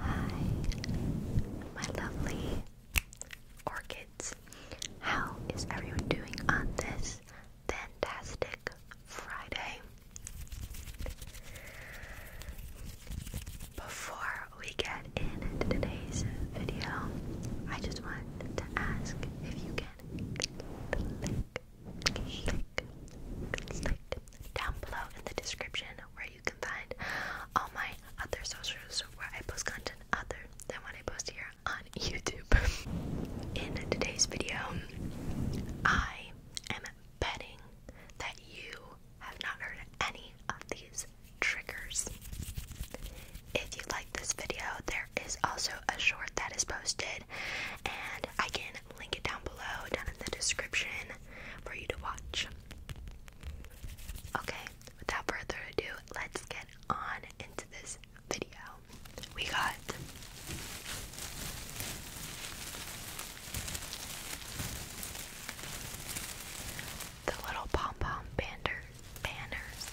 Hi, my lovely orchids. How is everyone doing on this fantastic Friday? Before we get into today's video, I just want to ask if you can click, click, click down below in the description where you can find all my other socials where I post content other than what I post here on YouTube. in today's video, I am betting that you have not heard any of these triggers. If you like this video, there is also a short that is posted, and I can link it down below, down in the description, for you to watch. Okay, without further ado, let's get on into this video. We got the little pom pom bander banners.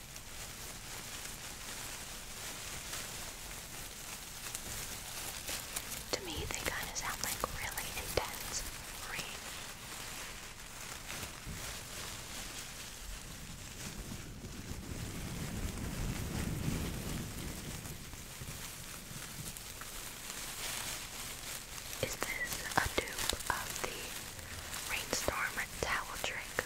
To me, they kind of sound like really intense rain. Is this a dupe of the rainstorm towel trick?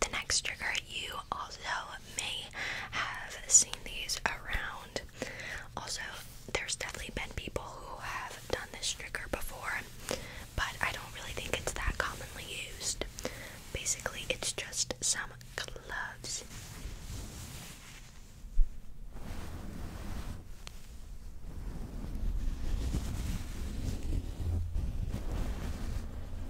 the next trigger, you also may have seen these around. Also, there's definitely been people who have done this trigger before, but I don't really think it's that commonly used. Basically, it's just some gloves.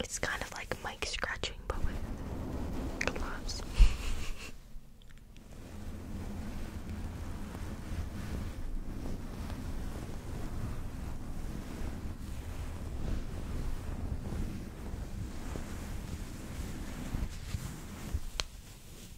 It's kind of like mic scratching, but with gloves.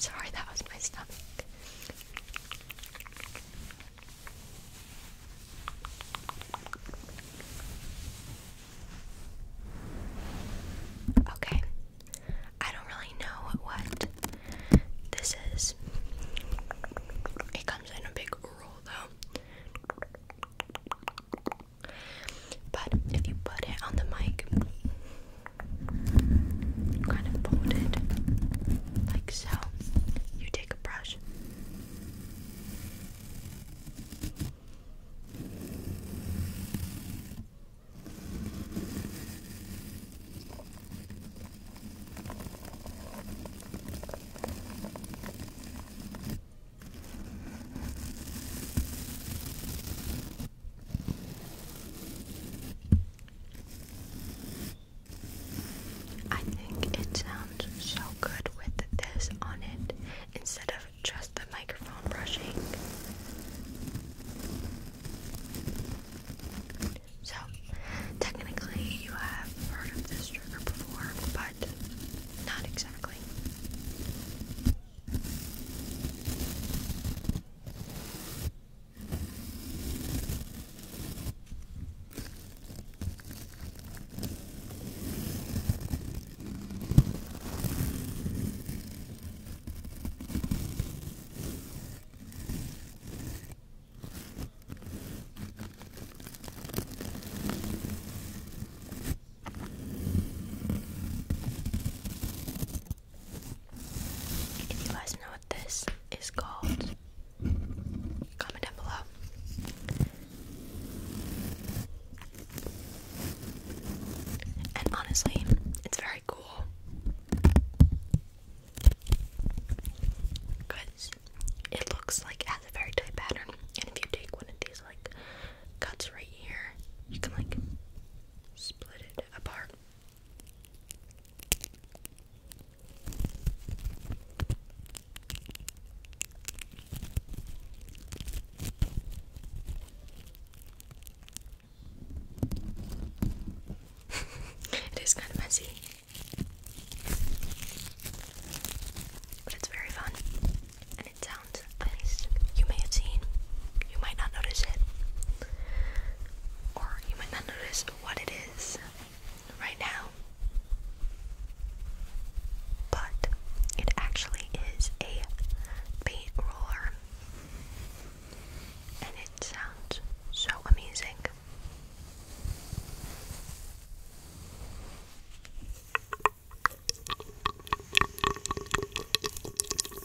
Sorry, that was my stomach. Okay, I don't really know what this is. It comes in a big roll though. But if you put it on the mic, kind of fold it like so, you take take a brush. I think it sounds so good with this on it instead of just the microphone brushing. So, technically, you have heard this trigger before, but not exactly. Do you guys know what this is called? Comment down below. And honestly, it's very cool. Because it looks like it has a very tight pattern. And if you take one of these like cuts right here, you can like split it apart it is kind of messy, but it's very fun and it sounds nice. You may have seen, you might not notice it, or you might not notice what it is right now. But it actually is a paint roller. And it sounds so amazing.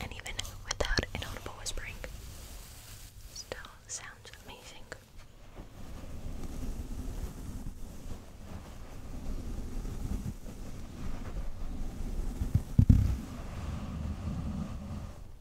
And even without inaudible whispering, still sounds amazing.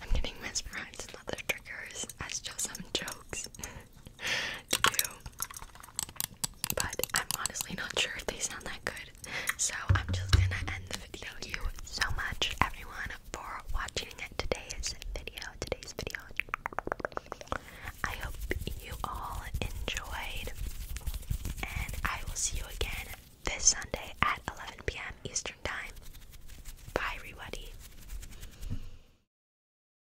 I'm getting mesmerized in other triggers just some jokes do but I'm honestly not sure if they sound that good. So I'm just gonna end the video. Thank you so much, everyone, for watching today's video. Today's video. I hope you all enjoyed, and I will see you again this Sunday at 11 p.m. Eastern Time. Bye, everybody.